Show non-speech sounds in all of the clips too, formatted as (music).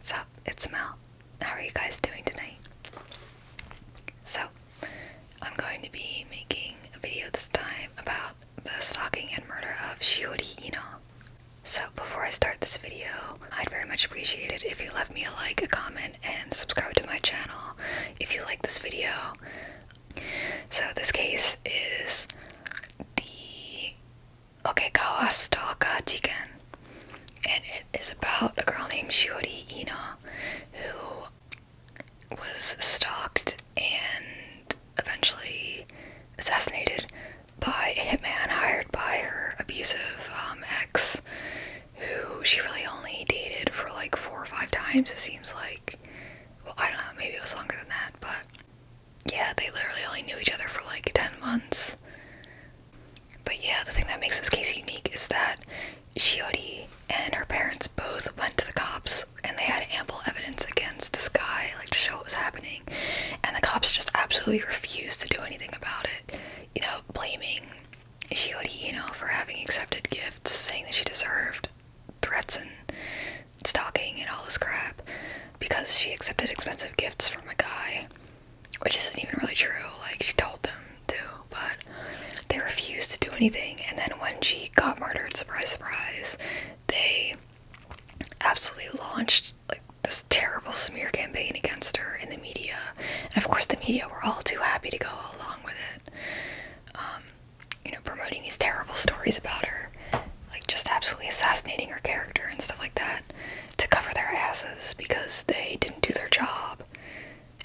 Sup, it's Mel. How are you guys doing tonight? So, I'm going to be making a video this time about the stalking and murder of Shiori Ino. So, before I start this video, I'd very much appreciate it if you left me a like, a comment, and subscribe to my channel if you like this video. So, this case is the Okegawa Stalka Jigen. And it is about a girl named Shiori Ina who was stalked and eventually assassinated by a hitman hired by her abusive um, ex, who she really only dated for like four or five times, it seems like. Well, I don't know, maybe it was longer than that, but yeah, they literally only knew each other for like 10 months. But yeah, the thing that makes this case unique is that Shiori and her parents both went to the cops and they had ample evidence against this guy, like to show what was happening. And the cops just absolutely refused to do anything about it. You know, blaming Shiori, you know, for having accepted gifts, saying that she deserved threats and stalking and all this crap because she accepted expensive gifts from a guy which isn't even really true. Like she told them to, but they refused to do anything. And then when she got murdered, surprise, surprise, they absolutely launched like this terrible smear campaign against her in the media. And of course, the media were all too happy to go along with it. Um, you know, promoting these terrible stories about her, like just absolutely assassinating her character and stuff like that to cover their asses because they didn't do their job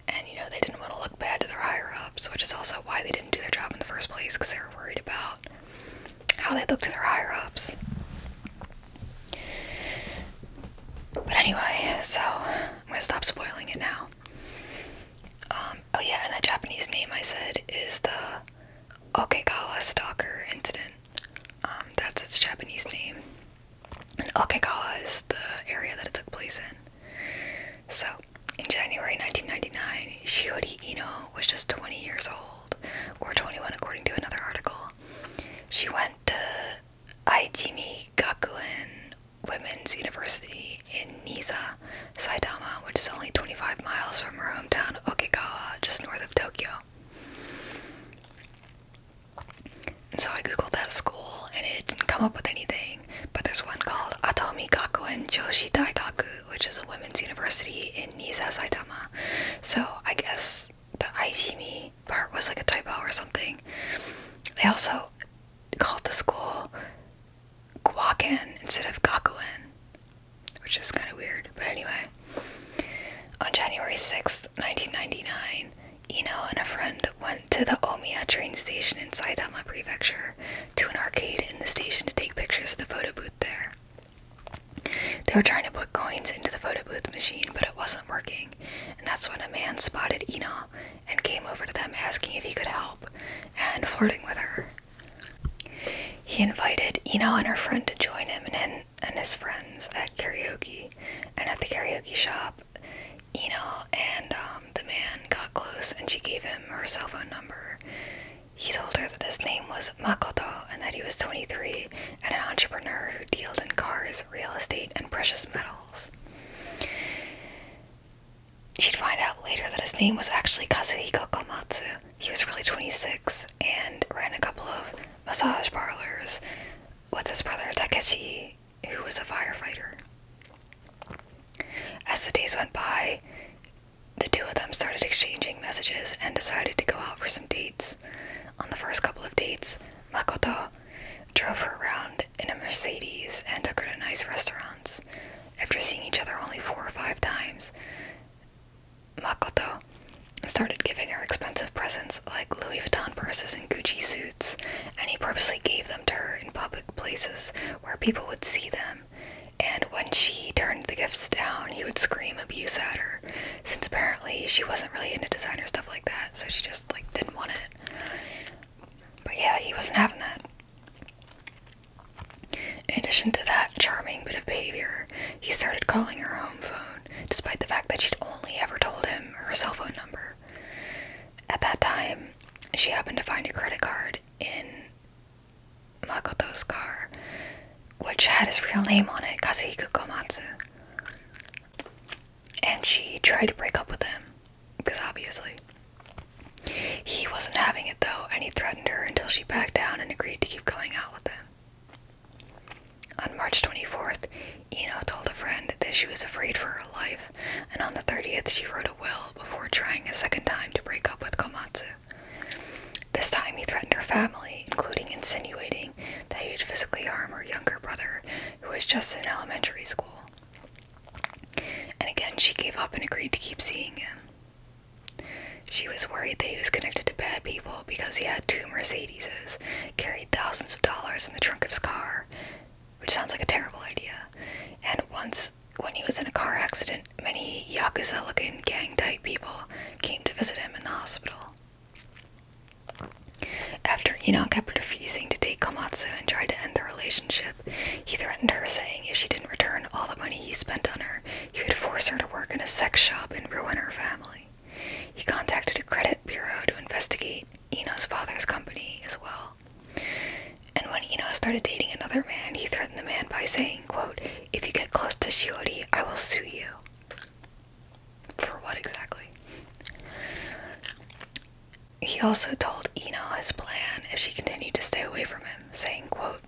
and you know they didn't want to look bad to their higher ups which is also why they didn't do their job in the first place because they were worried about how they looked to their higher ups but anyway so i'm gonna stop spoiling it now um, oh yeah and that japanese name i said is the okagawa stalker incident um, that's its Japanese name. And Okagawa is the area that it took place in. So, in January 1999, Shiori Ino was just 20 years old, or 21 according to another article. She went to Aijimi Gakuin Women's University in Nisa, Saitama, which is only 25 miles from her hometown of Okagawa, just north of Tokyo so I googled that school and it didn't come up with anything, but there's one called Atomi Gakuin Joshi Daigaku, which is a women's university in Niza, Saitama. So I guess the Aishimi part was like a typo or something. They also called the school Gwaken instead of Gakuin, which is kind of weird, but anyway. On January sixth, nineteen 1999, Ino and a friend went to the Omiya train station in Saitama Prefecture to an arcade in the station to take pictures of the photo booth there. They were trying to put coins into the photo booth machine, but it wasn't working, and that's when a man spotted Ino and came over to them asking if he could help and flirting with her. He invited Ino and her friend to join him in and his friends at karaoke, and at the karaoke shop, Eno and um, the man got close, and she gave him her cell phone number. He told her that his name was Makoto and that he was 23 and an entrepreneur who dealt in cars, real estate, and precious metals. She'd find out later that his name was actually Kazuhiko Komatsu. He was really 26 and ran a couple of massage parlors with his brother Takeshi, who was a firefighter. As the days went by, the two of them started exchanging messages and decided to go out for some dates. On the first couple of dates, Makoto drove her around in a Mercedes and took her to nice restaurants. After seeing each other only four or five times, Makoto started giving her expensive presents like Louis Vuitton purses and Gucci suits, and he purposely gave them to her in public places where people would see them. And when she turned the gifts down, he would scream abuse at her, since apparently she wasn't really into designer stuff like that, so she just like didn't want it. But yeah, he wasn't having that. In addition to that charming bit of behavior, he started calling her home phone, despite the fact that she'd only ever told him her cell phone number. At that time, she happened to find a credit card in Makoto's car, which had his real name on it, Kazuhiko Komatsu. And she tried to break up with him, because obviously. He wasn't having it though, and he threatened her until she backed down and agreed to keep going out with him. On March 24th, Eno told a friend that she was afraid for her life, and on the 30th, she wrote a will before trying a second time to break up with Komatsu. This time, he threatened her family, including insinuating that he would physically harm her younger brother, who was just in elementary school. And again, she gave up and agreed to keep seeing him. She was worried that he was connected to bad people because he had two Mercedeses, carried thousands of dollars in the trunk of his car, which sounds like a terrible idea. And once, when he was in a car accident, many Yakuza looking gang type people came to visit him in the hospital. After Enoch kept refusing to date Komatsu and tried to end the relationship, he threatened her, saying if she didn't return all the money he spent on her, he would force her to work in a sex shop and ruin her family. He contacted a credit bureau to investigate Eno's father's company as well. And when Eno started dating another man, he threatened the man by saying, quote, If you get close to Shiori, I will sue you. For what exactly? He also told Eno his plan if she continued to stay away from him, saying, quote,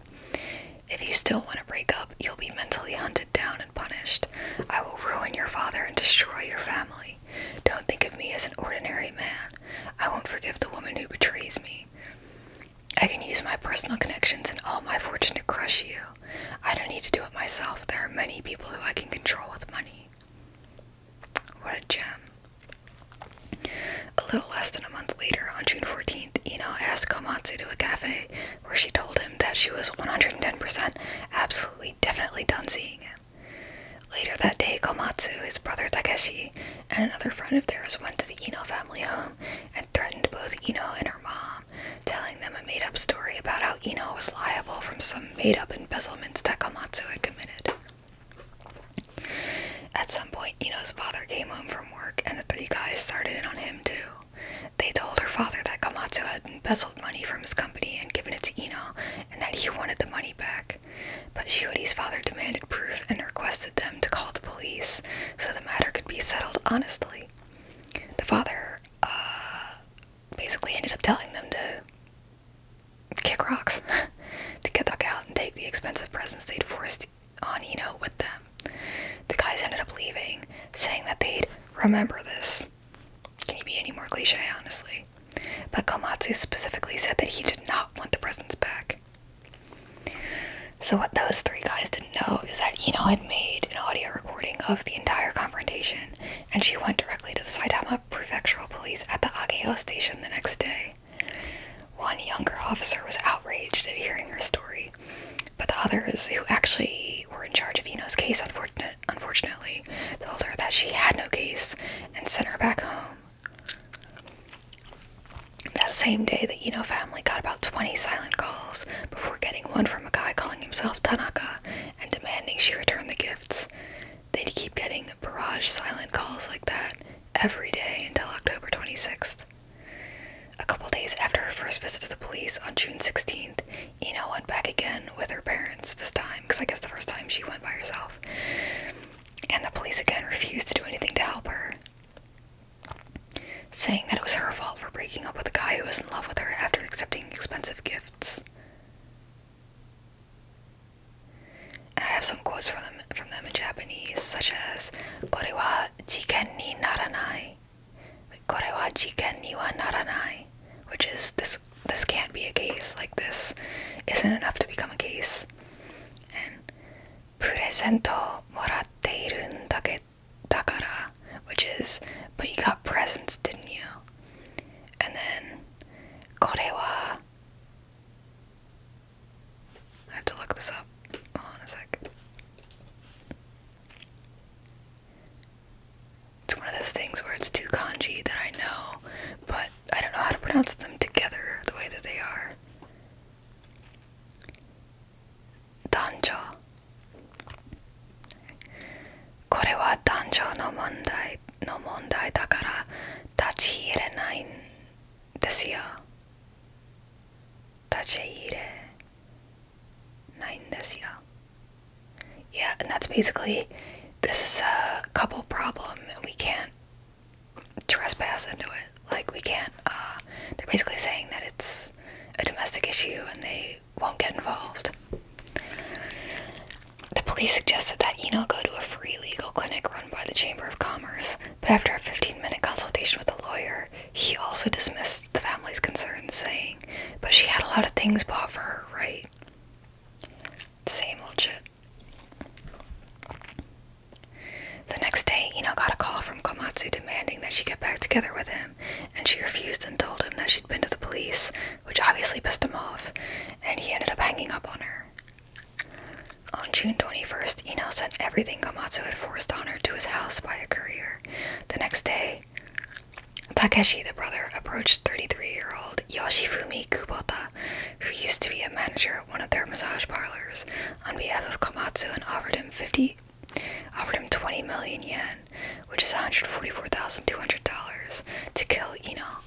If you still want to break up, you'll be mentally hunted down and punished. I will ruin your father and destroy your family. Don't think of me as an ordinary man. I won't forgive the woman who betrays me. I can use my personal connections and all my fortune to crush you. I don't need to do it myself. There are many people who I can control with money. What a gem. A little less than a month later, on June 14th, Ino asked Komatsu to a cafe where she told him that she was 110% absolutely definitely done seeing him. Later that day, Komatsu, his brother Takeshi, and another friend of theirs went to the Ino family home and threatened both Ino and her mom, telling them a made up story about how Ino was liable from some made up embezzlements that Komatsu had committed. At some point, Ino's father came home from work, and the three guys started in on him too. They told her father that Komatsu had embezzled money from his company and given it to Ino, and that he wanted the money back. But Shiori's father demanded proof and requested them to call the police so the matter could be settled honestly. The father uh, basically ended up telling them to kick rocks, (laughs) to get the fuck out and take the expensive presents they'd forced on Ino with them. The guys ended up leaving, saying that they'd remember this can you be any more cliche, honestly? But Komatsu specifically said that he did not want the presents back. So, what those three guys didn't know is that Eno had made an audio recording of the entire confrontation, and she went directly to the Saitama Prefectural Police at the Ageo station the next day. One younger officer was outraged at hearing her story. But the others, who actually were in charge of Eno's case, unfortunately, told her that she had no case and sent her back home. That same day, the Eno family got about 20 silent calls before getting one from a guy calling himself Tanaka and demanding she return the gifts. They'd keep getting barrage silent calls like that every day until October 26th. A couple days after her first visit to the police on June 16th, Ina went back again with her parents this time, because I guess the first time she went by herself. And the police again refused to do anything to help her, saying that it was her fault for breaking up with a guy who was in love with her after accepting expensive gifts. And I have some quotes from them from them in Japanese, such as "Kore wa naranai," Korewachiken niwa naranai, which is this this can't be a case, like this isn't enough to become a case. And presento moratteirun dakara, which is but you got presents, didn't you? And then korewa I have to look this up. Hold on a sec. It's one of those things where it's two kanji that I know, but I don't know how to pronounce them together the way that they are. これは男女の問題の問題だから立ち入れないんですよ。立ち入れ this Yeah, and that's basically this is a couple problem, and we can't trespass into it. Like, we can't, uh, they're basically saying that it's a domestic issue and they won't get involved. The police suggested that Eno go to a free legal clinic run by the Chamber of Commerce, but after a 15 minute consultation with a lawyer, he also dismissed the family's concern, saying, But she had a lot of things bought for her, right? Same old shit. The next day, Ino got a call from Komatsu demanding that she get back together with him, and she refused and told him that she'd been to the police, which obviously pissed him off, and he ended up hanging up on her. On June 21st, Ino sent everything Komatsu had forced on her to his house by a courier. The next day, Takeshi, the brother, approached 33 year old Yoshifumi Kubota, who used to be a manager at one of their massage parlors, on behalf of Komatsu and offered him 50, offered him 20 million yen, which is $144,200, to kill Ino.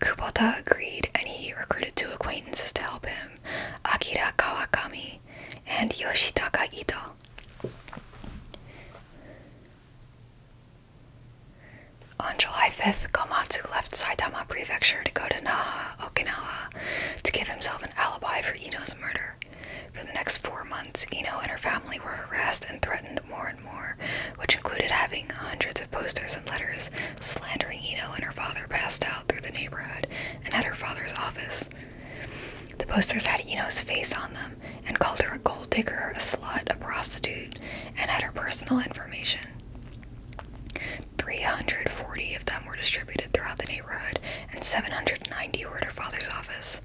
Kubota agreed and he recruited two acquaintances to help him Akira Kawakami and Yoshitaka Ito. On July 5th, Komatsu left Saitama Prefecture to go to Naha, Okinawa, to give himself an alibi for Ino's murder. For the next four months, Ino and her family were harassed and threatened more and more, which included having hundreds of posters and letters slandering Ino and her father passed out through the neighborhood and at her father's office. The posters had Eno's face on them and called her a gold digger, a slut, a prostitute, and had her personal information. 340 of them were distributed throughout the neighborhood, and 790 were at her father's office.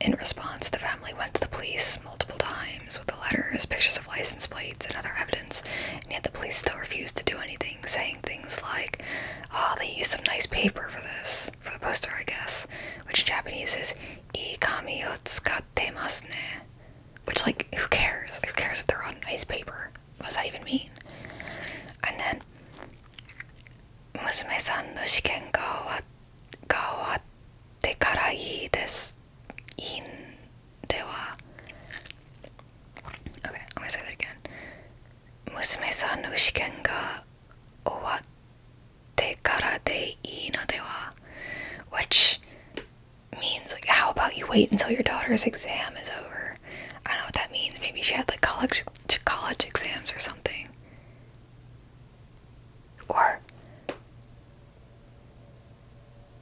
In response, the family went to the police multiple times with the letters, pictures of license plates, and other evidence, and yet the police still refused to do anything, saying things like, Oh, they used some nice paper for this, this for the poster, I guess, which in Japanese is "I kami o tsukatemasu ne," which like who cares? Who cares if they're on nice paper? What does that even mean? And then "musume-san no shiken ga owatte ga owatte kara ii desu in dewa." Okay, I'm gonna say that again. Musume-san no shiken ga owatte te kara de inotewa, which means like how about you wait until your daughter's exam is over? I don't know what that means. Maybe she had like college college exams or something. Or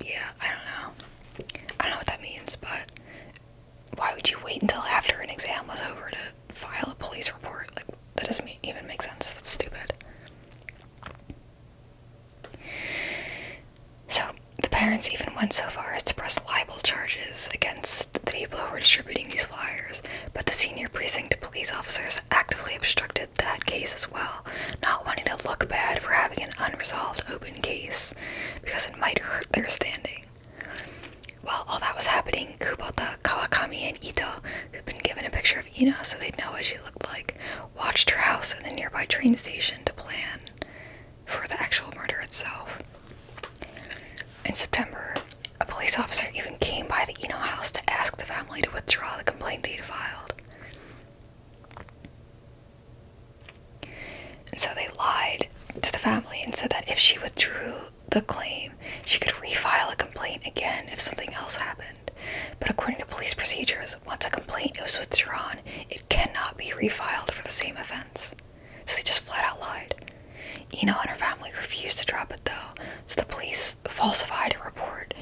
yeah, I don't know. I don't know what that means, but why would you wait until after an exam was over to file a police report. Like, that doesn't even make sense. That's stupid. So, the parents even went so far as to press libel charges against the people who were distributing these flyers, but the senior precinct police officers actively obstructed that case as well, not wanting to look bad for having an unresolved open case because it might hurt their standing. While all that was happening, Kubota uh, Kawakami and Ito, who'd been given a picture of Ino so they'd know what she looked like, watched her house and the nearby train station to plan for the actual murder itself. In September, a police officer even came by the Ino house to ask the family to withdraw the complaint they'd filed. And so they lied to the family and said that if she withdrew the claim, she could refile a complaint again if something else happened. But according to police procedures, once a complaint is withdrawn, it cannot be refiled for the same offense. So they just flat out lied. Eno and her family refused to drop it though, so the police falsified a report,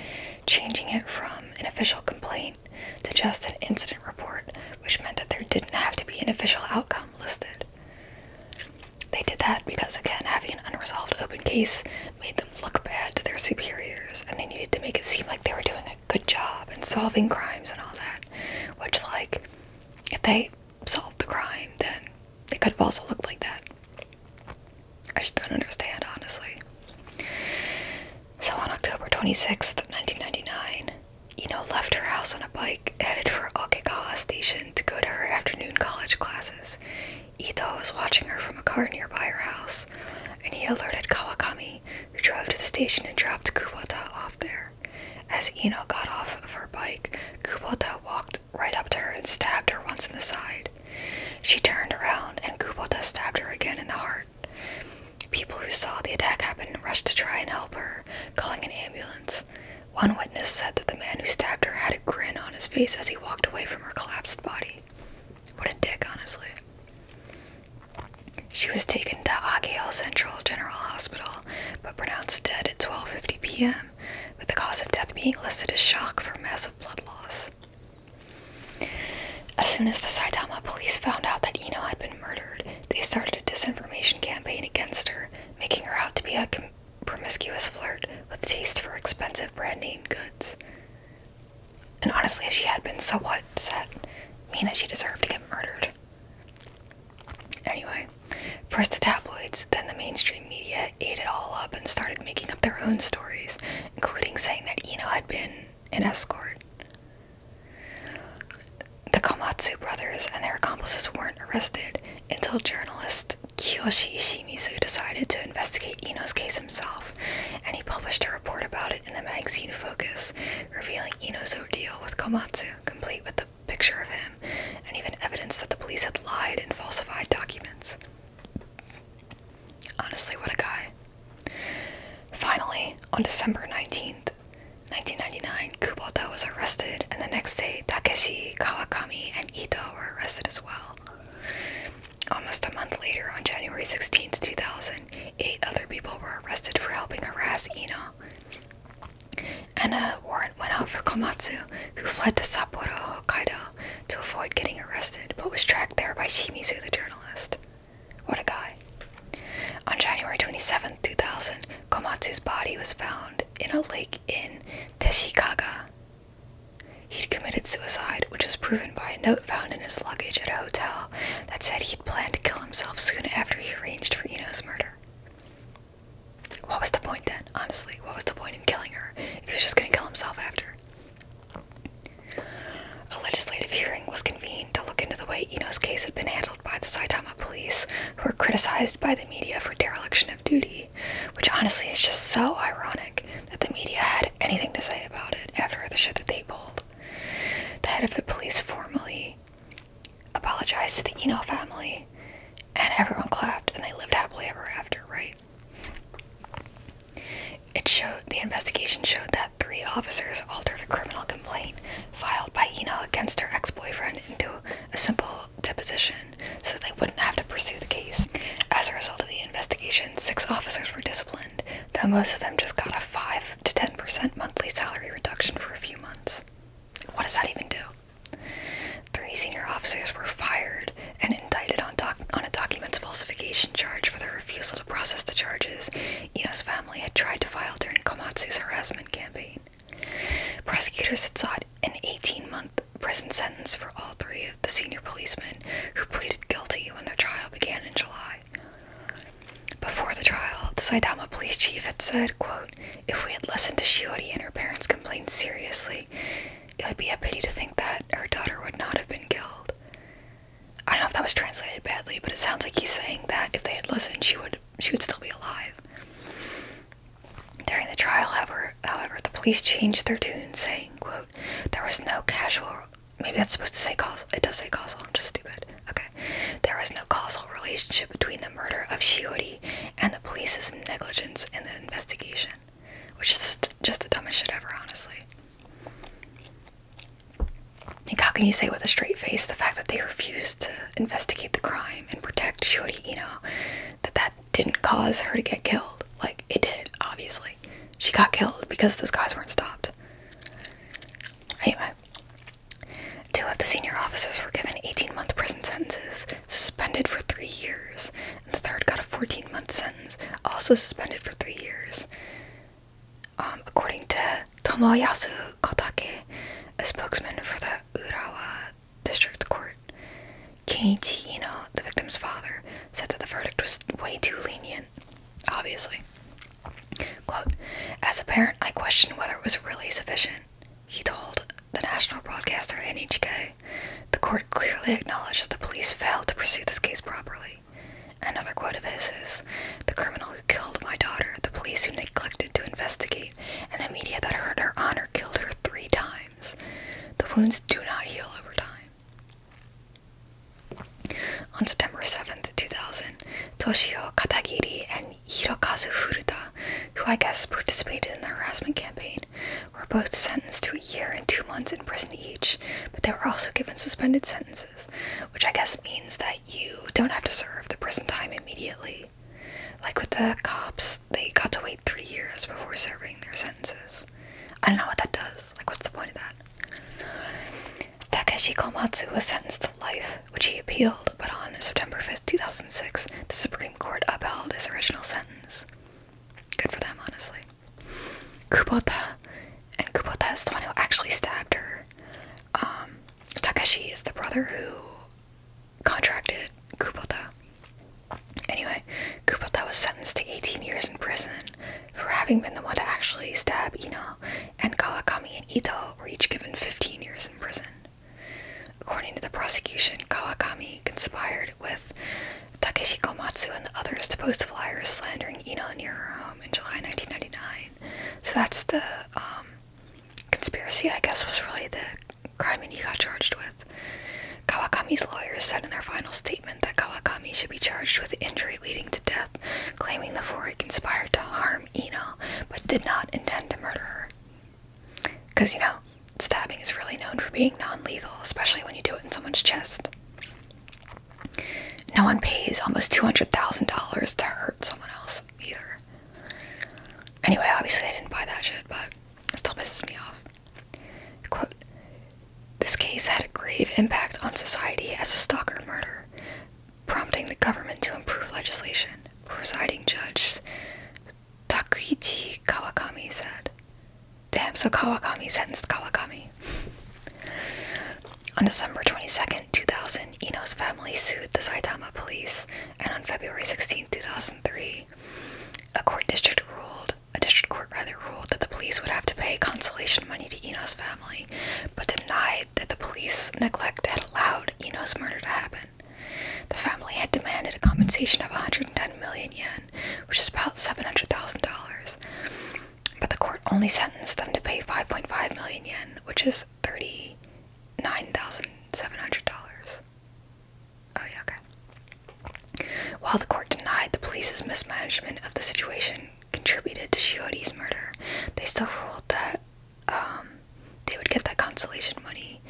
changing it from an official complaint to just an incident report, which meant that there didn't have to be an official outcome listed. They did that because, again, having an unresolved open case made them look bad to their superiors, and they needed to make it seem like they were doing a good job and solving crimes and all that. Which, like, if they solved the crime, then they could have also looked like that. I just don't understand, honestly. So on October 26th, 1999, Eno left her house on a bike, headed for Okekawa Station to go to her afternoon college classes. Ito was watching her from a car nearby her house, and he alerted Kawakami, who drove to the station and dropped Kubota off there. As Ino got off of her bike, Kubota walked right up to her and stabbed her once in the side. She turned around, and Kubota stabbed her again in the heart. People who saw the attack happen rushed to try and help her, calling an ambulance. One witness said that the man who stabbed her had a grin on his face as he walked away from her collapsed body. What a dick, honestly. She was taken to Akiel Central General Hospital, but pronounced dead at 12:50 p.m., with the cause of death being listed as shock from massive blood loss. As soon as the Saitama police found out that Eno had been murdered, they started a disinformation campaign against her, making her out to be a promiscuous flirt with taste for expensive brand name goods. And honestly, if she had been, so what? Does that mean that she deserved to get murdered? Anyway, first the tabloids, then the mainstream media ate it all up and started making up their own stories, including saying that Eno had been an escort. The Komatsu brothers and their accomplices were not Arrested, and told journalist Kiyoshi Shimizu decided to investigate Ino's case himself, and he published a report about it in the magazine Focus, revealing Ino's ordeal with Komatsu, complete with the picture of him, and even evidence that the police had lied and falsified documents. Honestly, what a guy. Finally, on December 19th, 1999, Kubota was arrested, and the next day, Takeshi, Kawakami, and Ito were arrested as well. Almost a month later, on January 16, 2000, eight other people were arrested for helping harass Ino. And a warrant went out for Komatsu, who fled to Sapporo, Hokkaido, to avoid getting arrested, but was tracked there by Shimizu, the journalist. What a guy. On January 27, 2000, Komatsu's body was found in a lake in Teshikaga, He'd committed suicide, which was proven by a note found in his luggage at a hotel that said he'd planned to kill himself soon after he arranged for Eno's murder. What was the point then, honestly? What was the point in killing her if he was just going to kill himself after? A legislative hearing was convened to look into the way Eno's case had been handled by the Saitama police, who were criticized by the media for dereliction Duty, which honestly is just so ironic that the media had anything to say about it after the shit that they pulled. The head of the police formally apologized to the Eno family, and everyone clapped, and they lived happily ever after, right? It showed the investigation showed that three officers altered a criminal complaint filed by Eno against her ex-boyfriend into a simple deposition so they wouldn't have to pursue the case. As a result of the investigation, six officers were disciplined, though most of them just got a 5 to 10% monthly salary reduction for a few months. What does that even do? Three senior officers were fired and indicted on, doc on a documents falsification charge for their refusal to process the charges Ino's family had tried to file during Komatsu's harassment campaign. Prosecutors had sought an 18 month prison sentence for all three of the senior policemen who pleaded guilty when their trial began in July. Before the trial, the Saitama police chief had said, quote, If we had listened to Shiori and her parents' complaints seriously, it would be a pity to think that her daughter would not have been killed. I don't know if that was translated badly, but it sounds like he's saying that if they had listened, she would she would still be alive. During the trial, however, the police changed their tune, saying, quote, there was no causal maybe that's supposed to say causal, it does say causal, I'm just stupid, okay. There was no causal relationship between the murder of Shiori and the police's negligence in the investigation, which is just the dumbest shit ever, honestly. Like, how can you say with a straight face the fact that they refused to investigate the crime and protect You know that that didn't cause her to get killed. Like, it did, obviously. She got killed because those guys weren't stopped. Anyway, two of the senior officers were given 18 month prison sentences, suspended for three years, and the third got a 14 month sentence, also suspended for three years. Um, according to Tomoyasu Kotake, a spokesman for the Urawa district court. Keiichi, you know, the victim's father, said that the verdict was way too lenient, obviously. Quote, As a parent, I question whether it was really sufficient, he told the national broadcaster NHK. The court clearly acknowledged that the police failed to pursue this case properly. Another quote of his is The criminal who killed my daughter, the police who neglected to investigate, and the media that hurt her honor killed her three times. The wounds do not heal over time. On September 7, 2000, Toshio Katagiri and Hirokazu Furuta, who I guess participated in the harassment campaign, were both sentenced to a year and two months in prison each, but they were also given suspended sentences, which I guess means that you don't have to serve the prison time immediately. Like with the cops, they got to wait three years before serving their sentence. I don't know what that does. Like, what's the point of that? Takeshi Komatsu was sentenced to life, which he appealed, but on September 5th, 2006, the Supreme Court upheld his original sentence. Good for them, honestly. Kubota, and Kubota is the one who actually stabbed her. Um, Takeshi is the brother who contracted Kubota. Anyway, Kubota was sentenced to 18 years in prison for having been the one to actually stab Ino, and Kawakami and Ito were each given 15 years in prison. According to the prosecution, Kawakami conspired with Takeshi Komatsu and the others to post flyers slandering Ino near her home in July 1999. So that's the um, conspiracy, I guess, was really the crime he got charged with. Kawakami's lawyers said in their final statement that Kawakami should be charged with injury leading to death, claiming the four conspired to harm Ino but did not intend to murder her. Because, you know, stabbing is really known for being non lethal, especially when you do it in someone's chest. No one pays almost $200,000 to hurt someone else either. Anyway, obviously I didn't buy that shit, but it still pisses me off this case had a grave impact on society as a stalker murder, prompting the government to improve legislation, presiding judge Takuichi Kawakami said. Damn, so Kawakami sentenced Kawakami. on December 22, 2000, Ino's family sued the Saitama police, and on February 16, 2003, a court district ruled a district court rather ruled that the police would have to pay consolation money to Eno's family, but denied that the police neglect had allowed Eno's murder to happen. The family had demanded a compensation of 110 million yen, which is about $700,000, but the court only sentenced them to pay 5.5 million yen, which is $39,700. Oh, While the court denied the police's mismanagement of the situation contributed to Shiodi's murder, they still ruled that um, they would get that consolation money,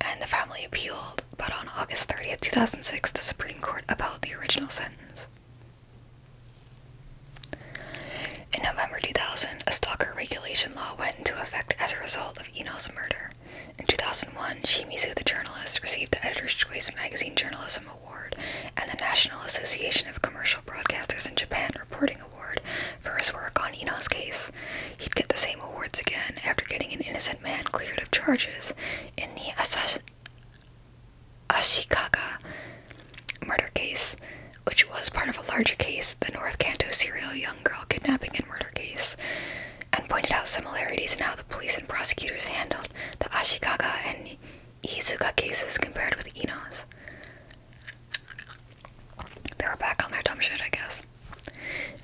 and the family appealed. But on August 30th, 2006, the Supreme Court upheld the original sentence. In November 2000, a stalker regulation law went into effect as a result of Eno's murder. In 2001, Shimizu the journalist received the Editor's Choice Magazine Journalism Award and the National Association of Commercial Broadcasters in Japan Reporting Award for his work on Eno's case. He'd get the same awards again after getting an innocent man cleared of charges in the Asash Ashikaga murder case, which was part of a larger case, the North Kanto serial young girl kidnapping and murder case and pointed out similarities in how the police and prosecutors handled the Ashikaga and Iizuka cases compared with Eno's. They were back on their dumb shit, I guess.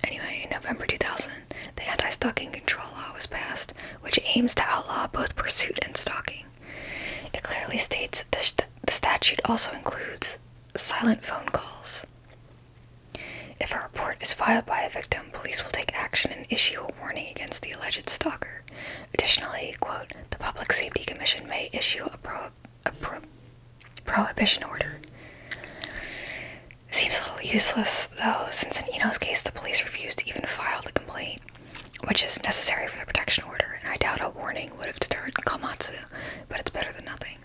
Anyway, in November 2000, the anti stalking control law was passed, which aims to outlaw both pursuit and stalking. It clearly states the, the statute also includes silent phone calls. If a report is filed by a victim, police will take action and issue a warning against the alleged stalker. Additionally, quote, the Public Safety Commission may issue a, prohibition order. Seems a little useless, though, since in Eno's case the police refused to even file the complaint, which is necessary for the protection order, and I doubt a warning would have deterred Kamatsu. but it's better than nothing.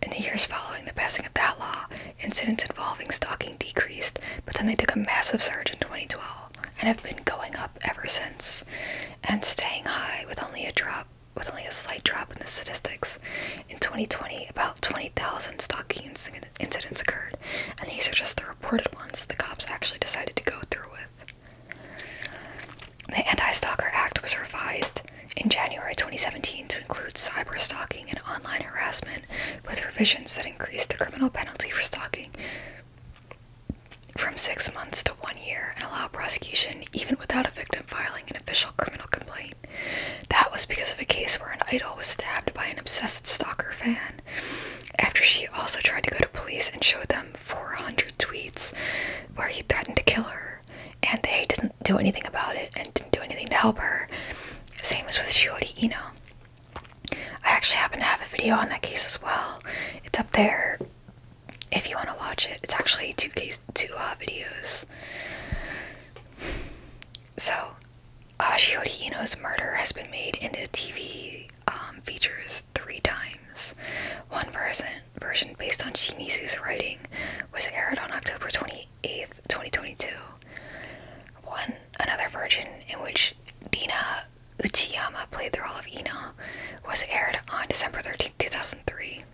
In the years following the passing of that law, incidents involving stalking decreased, but then they took a massive surge in 2012 and have been going up ever since and staying high with only a drop with only a slight drop in the statistics. In 2020, about 20,000 stalking incidents occurred, and these are just the reported ones that the cops actually decided to go through with. The Anti Stalker Act was revised in January 2017 to include cyber stalking and online harassment with revisions that increased the criminal penalty for stalking from six months to one year and allow prosecution even without a victim filing an official criminal complaint. That was because of a case where an idol was stabbed by an obsessed stalker fan after she also tried to go to police and showed them 400 tweets where he threatened to kill her and they didn't do anything about it and didn't do anything to help her. Same as with Shiori Ino. I actually happen to have a video on that case as well. It's up there if you want to watch it. It's actually two case two uh, videos. So, uh, Shiori murder has been made into TV um, features three times. One version, version based on Shimizu's writing was aired on October 28, 8th 2022. One another version in which Dina Uchiyama played the role of Ina was aired on December 13, 2003.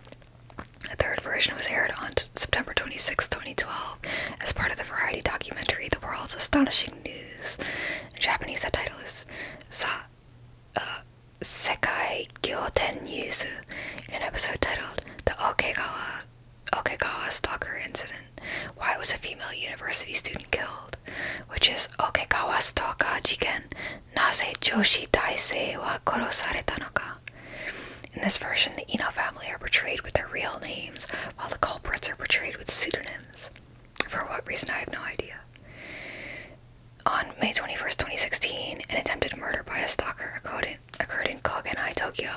A third version was aired on September 26, 2012, as part of the variety documentary The World's Astonishing News. Japanese, the title is Sa uh, Sekai Gyoten Yuzu, in an episode titled The Okagawa." Okegawa stalker incident. Why was a female university student killed? Which is Okegawa stalker jigen. Naze joshi daisei wa korosareta no ka? In this version, the Ino family are portrayed with their real names, while the culprits are portrayed with pseudonyms. For what reason, I have no idea. On May 21st, 2016, an attempted murder by a stalker occurred occurred in Koganei, Tokyo,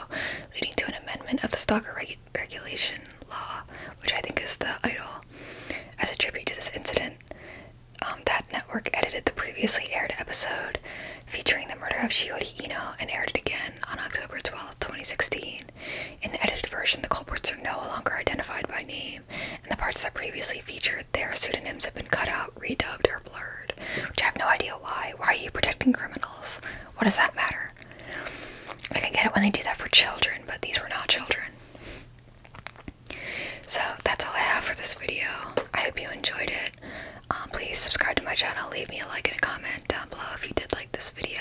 leading to an amendment of the stalker regulation law, which I think is the idol. As a tribute to this incident, um, that network edited the previously aired episode featuring the murder of Shiori Ino and aired it again on October 12, 2016. In the edited version, the culprits are no longer identified by name, and the parts that previously featured their pseudonyms have been cut out redubbed or blurred, which I have no idea why. Why are you protecting criminals? What does that matter? I can get it when they do that for children, but these were not children. So that's all I have for this video. I hope you enjoyed it. Um, please subscribe to my channel, leave me a like and a comment down below if you did like this video.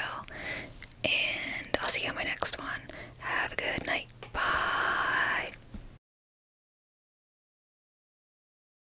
And I'll see you on my next one. Have a good night. Bye.